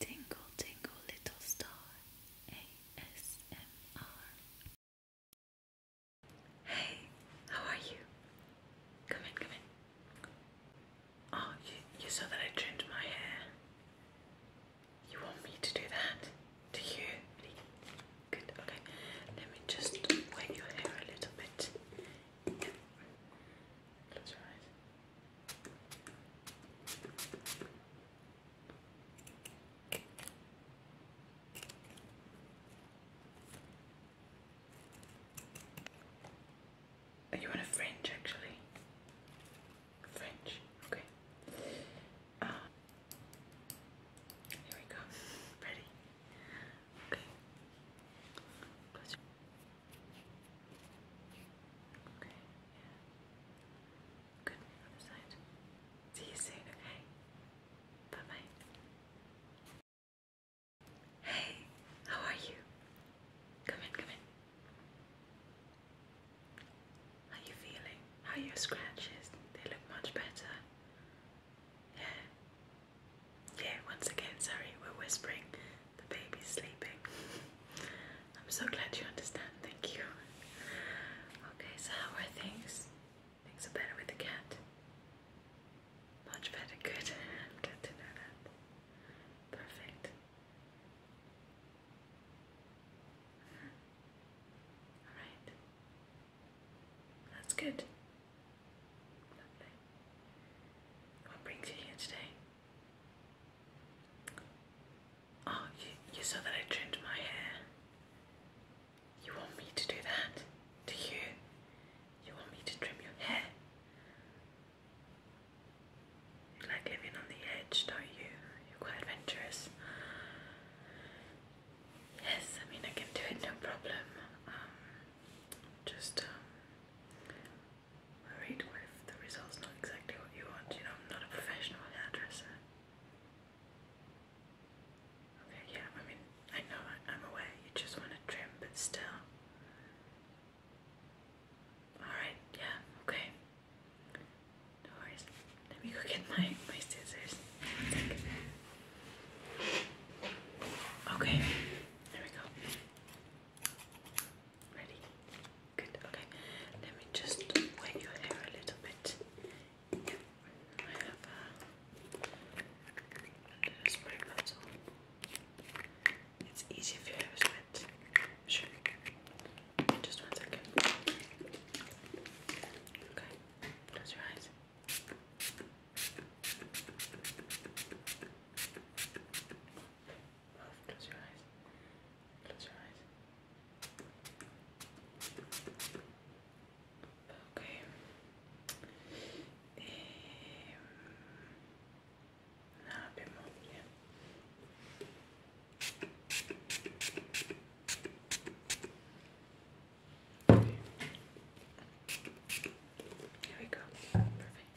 Tingle, tingle, little star. ASMR. Hey, how are you? Come in, come in. Oh, you, you saw that I trimmed my hair. You want me to do that? Do you? Good, okay. Let me just wet your hair a little bit. Close your eyes. Are you want a French actually? French, okay. Uh, here we go. Ready? Okay. Okay, yeah. Good, other See you soon, okay? Bye-bye. Hey, how are you? Come in, come in. How are you feeling? How are your scratches? They look much better. Yeah. Yeah, once again, sorry, we're whispering. The baby's sleeping. I'm so glad you understand. Thank you. Okay, so how are things? Things are better with the cat. Much better. Good. i to know that. Perfect. All right. That's good. Lovely. What brings you here today? Oh, you, you saw that I trimmed my hair. You want me to do that? Do you? You want me to trim your hair? You like living on the edge, don't you? You're quite adventurous. Yes, I mean I can do it, no problem. Um, just um, Alright, what if the result's not exactly what you want? You know, I'm not a professional hairdresser. Okay, yeah, I mean, I know, I'm aware you just want to trim, but still. Alright, yeah, okay. No worries. Let me go get my, my scissors. Okay, there we go. Ready? Good, okay. Let me just wet your hair a little bit. I have uh, a spray bottle. It's easy if your hair is wet. Sure. Just one second. Okay. Close your eyes. Close your eyes. Close your eyes. Okay. Um, Here we go. Perfect.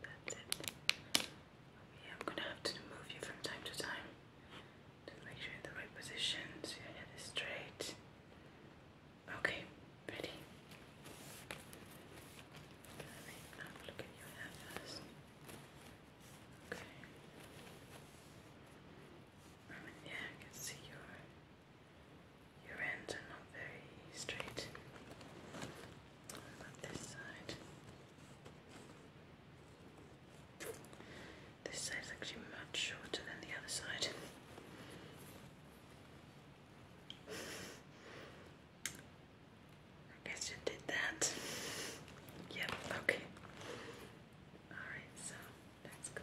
That's it. Okay, I'm gonna have to move you from time to time to make sure you're in the right position so your head is straight. Okay, ready? Now look at your hair first. Okay. yeah, I can see your your ends are not very straight. This side. This side is actually much shorter than the other side. I guess you did that. Yep, okay. Alright, so let's go.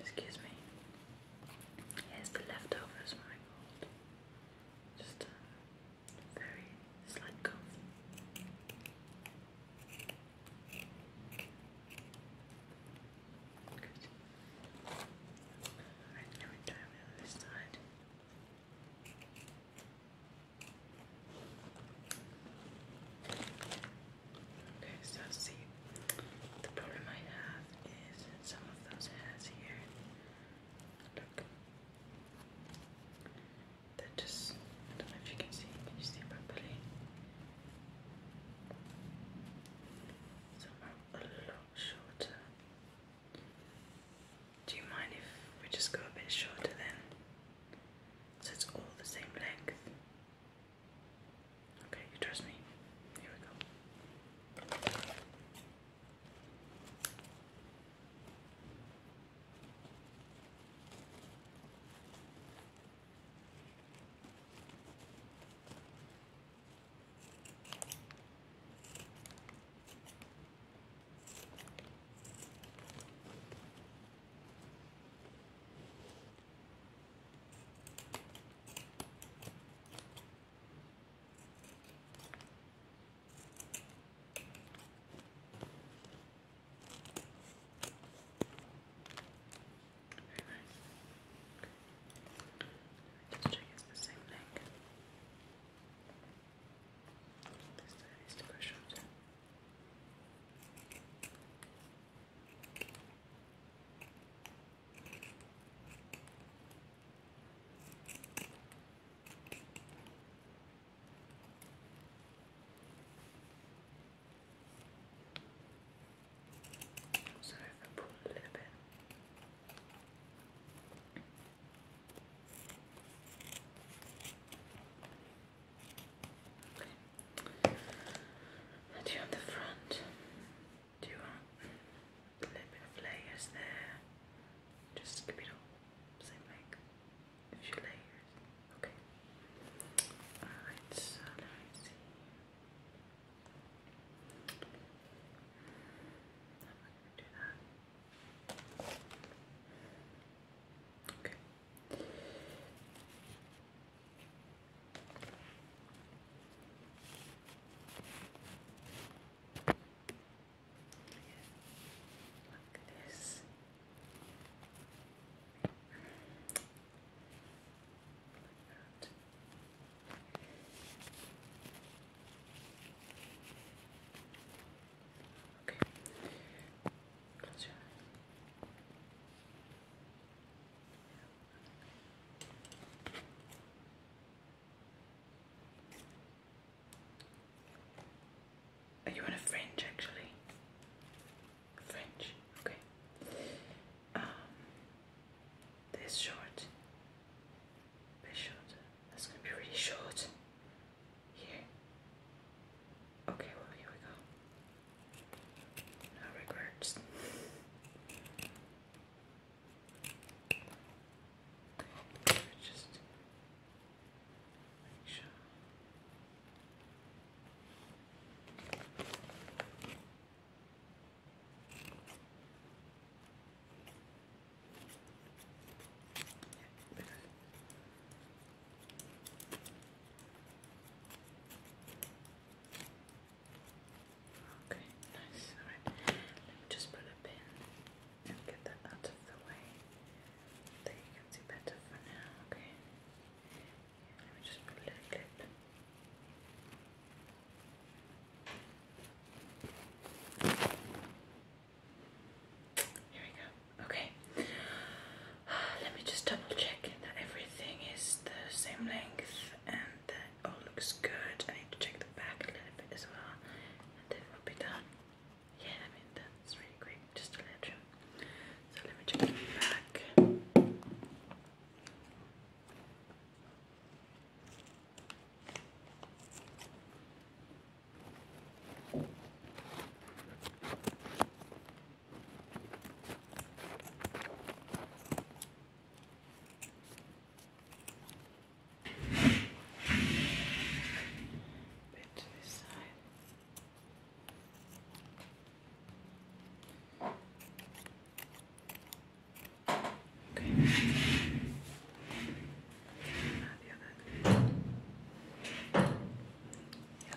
Excuse me. Here's the leftovers my gold. Just a very slight coat. Good. Alright, now we're down this side. Okay, so see, the problem I have is some of those hairs here. Look. They're just, I don't know if you can see, can you see properly? Some are a lot shorter. Do you mind if we just go a bit shorter then? So it's all the same length. Okay, you trust me? Here we go. Just check it's the same thing. This to push out. So if I pull a little bit. Okay. Two on the front, two on a little bit of layers there. Just skip it all, same like a few layers. Okay. Alright, so see. I'm not gonna do that. Okay. Look at this. Like that. Okay. I'll try you on a French actually? French, okay. Um, this short, this short. That's gonna be really short. Here. Okay, well here we go. No regrets. Just make sure. Yeah, Okay, nice. Alright, let me just put a pin and get that out of the way so you can see better for now. Okay, let me just put a Here we go. Okay. Let me just double check that everything is the same length and that all looks good. I need to check the back a little bit as well. And then we'll be done. Yeah, I mean that's really great just to let you. So let me check the back. Bit to this side. Okay. Not the other the uh,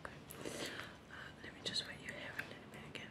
other let me just wet your hair a little bit again.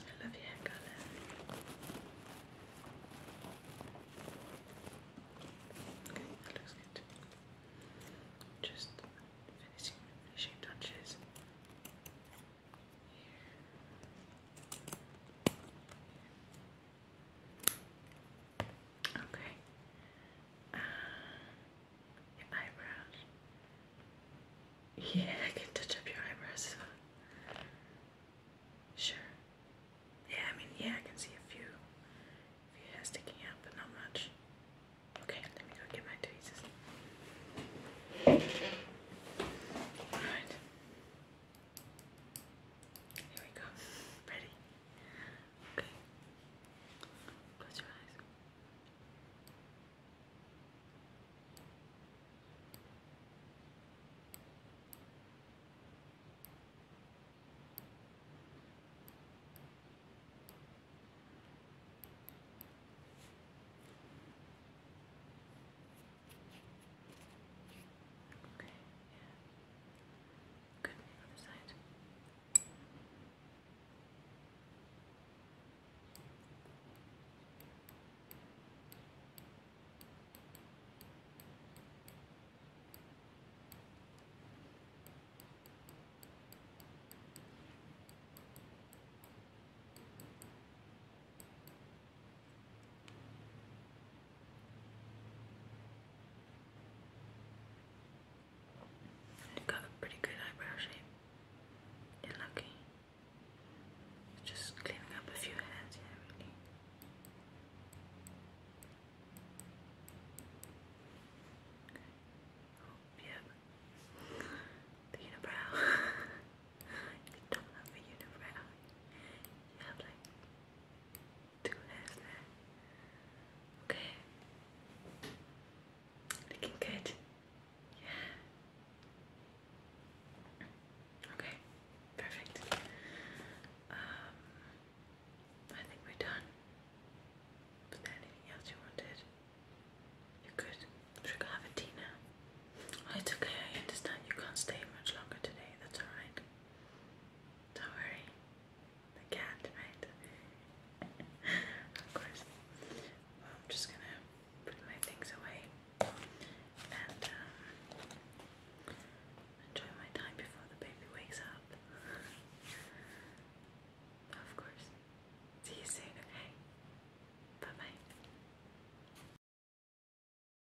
I love your hair color. Okay, that looks good. Just finishing finishing touches. Here. Okay. Uh, your eyebrows. Yeah, I can touch up your eyebrows. Sure. Yeah, I mean, yeah, I can see a few, a few hairs sticking out, but not much. Okay, let me go get my tweezers. Alright. Here we go. Ready? Okay. Close your eyes. Okay, yeah. Could be the other side got a pretty good eyebrow shape. You're lucky. Just cleaning up a few hairs, yeah, really. Oh, yeah. you can talk about the unibrow. You have like do this there. Okay. Looking good. Yeah. Okay. Perfect. Um I think we're done. Was there anything else you wanted? You're Should I have a tea now? Oh, it's okay, I understand you can't stay much longer today, that's alright. Don't worry, the cat, right? of course. I'm just gonna put my things away and um, enjoy my time before the baby wakes up. of course. See you soon, okay? Bye bye.